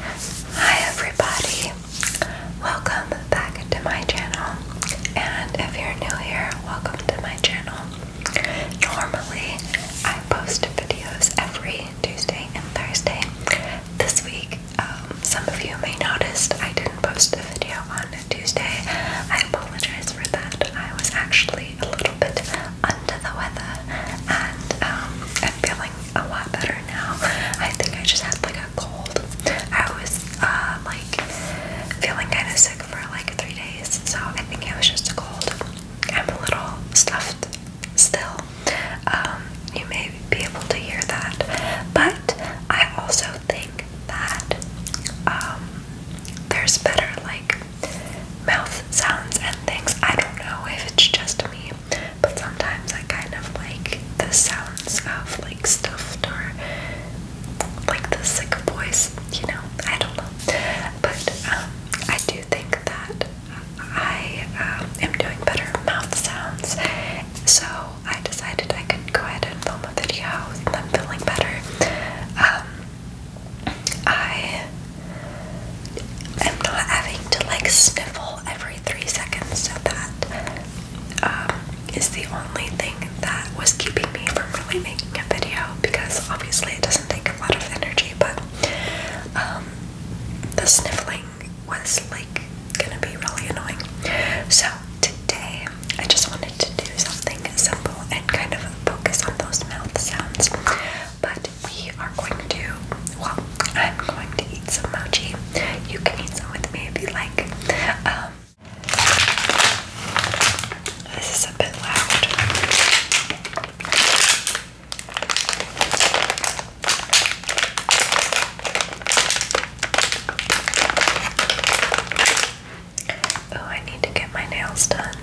Hi everybody! Welcome back to my channel and if you're new here, welcome to my channel. Normally I post videos every Tuesday and Thursday. This week, um, some of you may noticed I didn't post a video on Tuesday. I apologize for that. I was actually a little bit under the weather and um, I feel a lot better now. I think I just had like a cold. I was uh, like feeling kind of sick for like three days, so I think it was just a cold. I'm a little stuffed still. Um, you may be able to hear that, but I also think that um, there's better like mouth sounds and things. I don't know if it's just me, but sometimes I kind of like the sounds of like stuffed or like the sick voice, you know. I don't know. But um, I do think that I um, am doing better mouth sounds. So I decided I could go ahead and film a video. I'm feeling better. Um, I I'm not having to like sniffle every three seconds, so that um, is the only thing that was keeping me from really making a video because obviously it doesn't take a lot of energy, but um, the sniffling was like gonna be really annoying. So today I just wanted to do something simple and kind of focus on those mouth sounds. But we are going to, well, I'm going to eat some mochi. You can eat some with me if you like. Um, this is a bit loud. Oh, I need to get my nails done.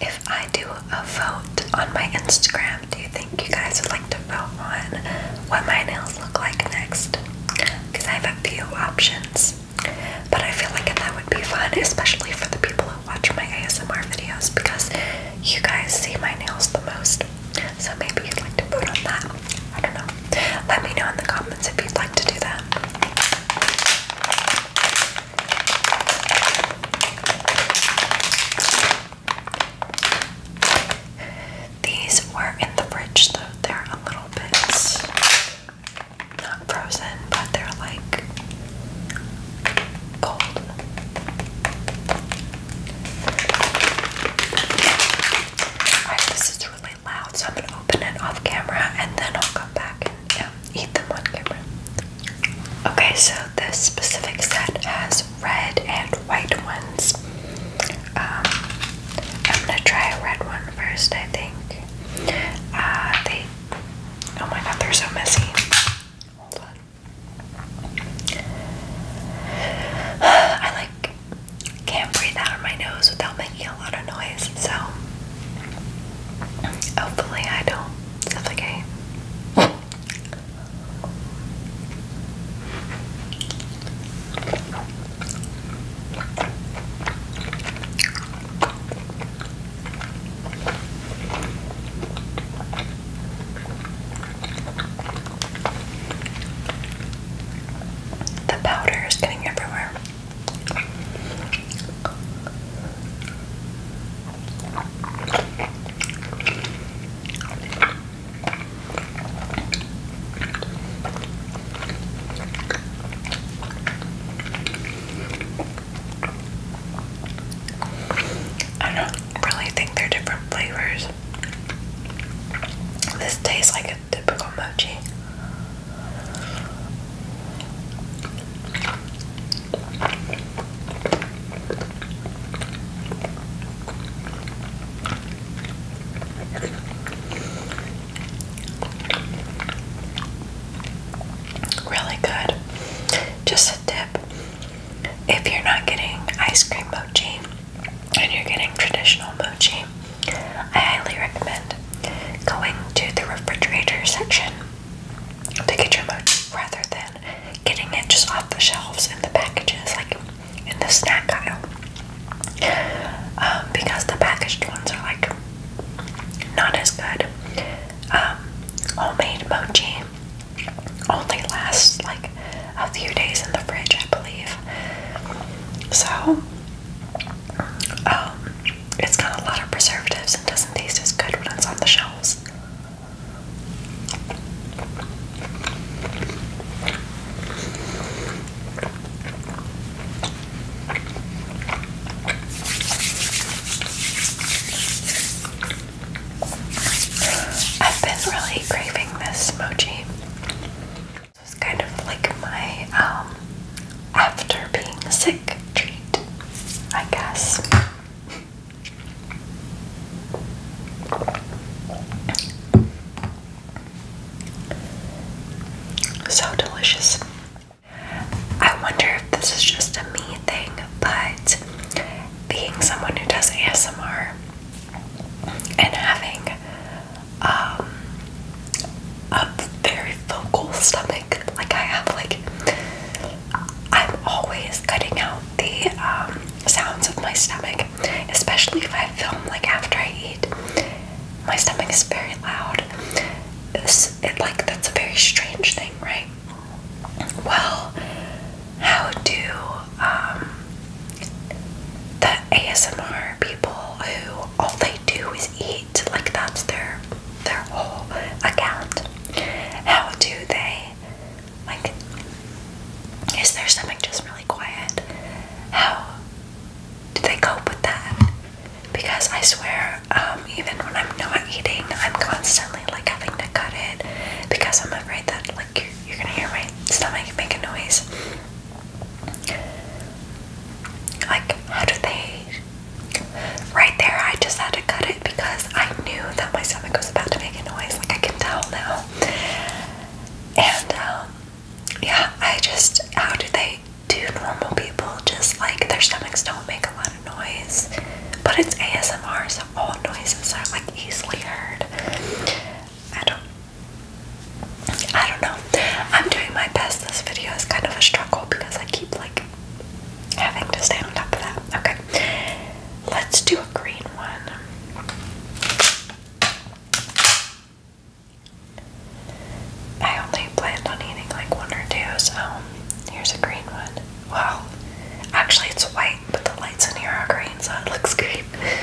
If I do a vote on my Instagram, do you think you guys would like to vote on what my nails look like next? Because I have a few options. But I feel like that would be fun, especially for the people who watch my ASMR videos because you guys see my nails the most. So maybe you'd like to vote on that. I don't know. Let me know in the comments if you'd like to do that. These were in the fridge though. They're a little bit not frozen, but they're like cold. this is really loud, so I'm gonna open it off camera and then I'll come back and yeah, eat them on camera. Okay, so this specific set has red and white ones. Um, I'm gonna try a red one first, I think. Uh, oh my god, they're so messy. Hold on. I like can't breathe out of my nose without making a lot of noise. So hopefully I don't suffocate. The powder is getting everywhere. I don't really think they're different flavors. This tastes like typical mochi. Really good. Just a tip if you're not getting ice cream mochi, and you're getting traditional mochi, I highly recommend going to the refrigerator section to get your mochi rather than getting it just off the shelves in the packages, like in the snack aisle. Um, because the packaged ones are like not as good. Um, homemade mochi only lasts like a few days in the fridge, I believe. So um, it's got a lot of preservatives and doesn't taste as good when it's on the shelves. I've been really craving this mochi. So it's kind of like my um, after being sick treat, I guess. So delicious. I wonder if this is just a me thing, but being someone who does ASMR, and having um, a very vocal stomach. Like I have, like I'm always cutting out the um, sounds of my stomach, especially if I film like after I eat. My stomach is very loud. It's, it like that's a very strange thing, right? Well, how do um, the ASMR people who all they do is eat, like that's their their whole account. How do they like is their stomach just really quiet? How do they cope with that? Because I swear, um, even when I'm not eating, I'm constantly like having to cut it because I'm afraid that like you're, you're gonna hear my stomach make a noise. Like, how do they? Right there, I just had to cut it because I knew that my stomach was about to make a noise. Like, I can tell now. And, um, yeah, I just, how do they do normal people? Just like their stomachs don't make a lot of noise, but it's ASMR, so all noises are like easily heard. I don't I don't know. I'm doing my best. This video is kind of a struggle because I keep like having to stay on top of that. Okay. Let's do a green one. I only planned on eating like one or two, so here's a green one. Well, Actually, it's white, but the lights in here are green, so it looks green.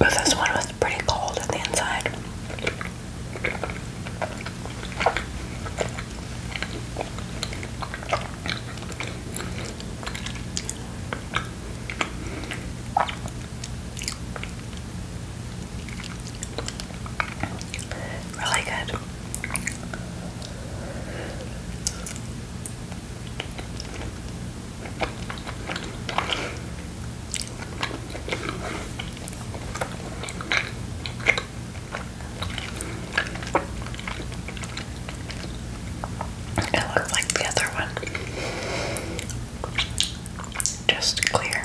this one was pretty cold on the inside. Really good. It looked like the other one, just clear.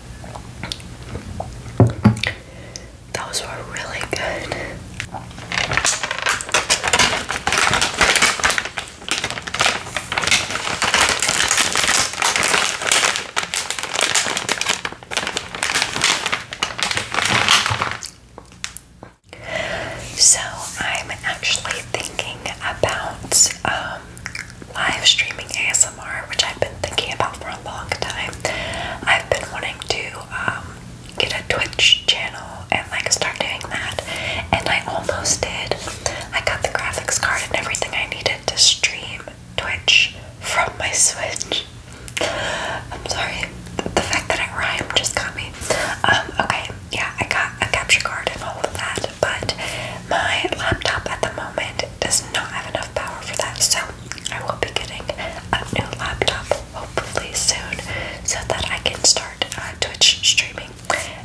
Those were really good. So I'm actually thinking about um, live streaming ASMR, which I've been thinking about for a long time. I've been wanting to um, get a Twitch channel and like start doing that, and I almost did. I got the graphics card and everything I needed to stream Twitch from my Switch. I'm sorry, the fact that it rhymed just got me. Um, okay, yeah, I got a capture card and all of that, but my laptop at the moment does not have enough power for that, so I will be getting a new laptop hopefully soon so that I can start uh, Twitch streaming.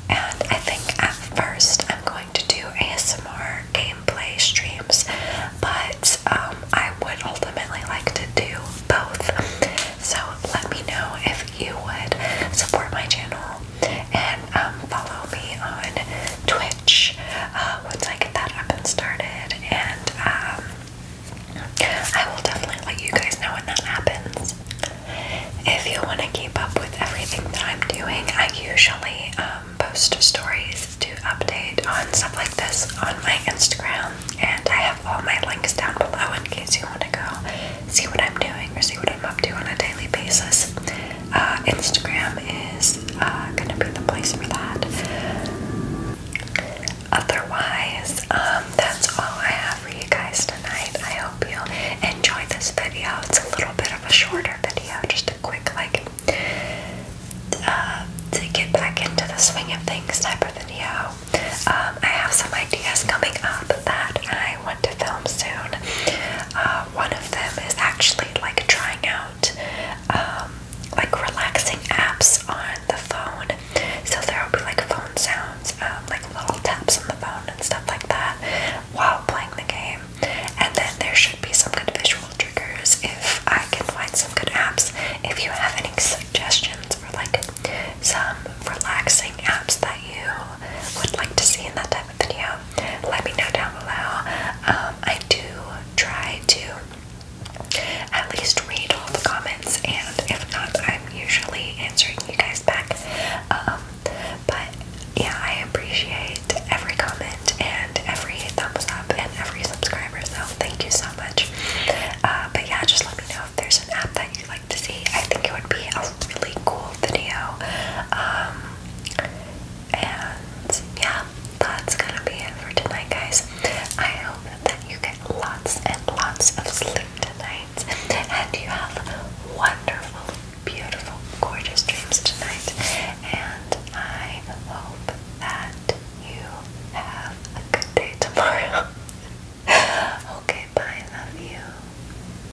And I think at first I'm going to do ASMR gameplay streams, but um, I would ultimately like to do both. So let me know if you would support my channel and um, follow me on Twitch uh, once I get that up and started. And um, I will definitely let you guys know when that happens. If you want to keep up with everything that I'm doing, I usually um, post stories to update on stuff like this on my Instagram, and I have all my links down below in case you want to go see what I'm doing or see what I'm up to on a daily basis. Uh, Instagram is uh, going to be the place for that. Otherwise, um, that's all I have for you guys tonight. I hope you enjoy this video. It's a little bit of a shorter video, just a quick, like, uh, to get back into the swing of things type video. Um, I have some ideas coming up that I want to film soon. Uh, one of them is actually like trying out um, like relaxing apps on the phone. So there will be like phone sounds, um, like little taps on the phone and stuff like that while playing the game. And then there should be some good visual triggers if I can find some good apps. If you have any suggestions for like some relaxing apps that you would like to see in that type video, let me know down below. Um, I do try to at least read all the comments, and if not, I'm usually answering you guys back. Um, but yeah, I appreciate every comment and every thumbs up and every subscriber, so thank you so much. Uh, but yeah, just let me know if there's an app that you'd like to see. I think it would be a really cool video. Um, and yeah, that's gonna be it for tonight, guys. I hope that you get lots and lots of sleep tonight, and you have wonderful, beautiful, gorgeous dreams tonight. And I hope that you have a good day tomorrow. okay, bye, love you.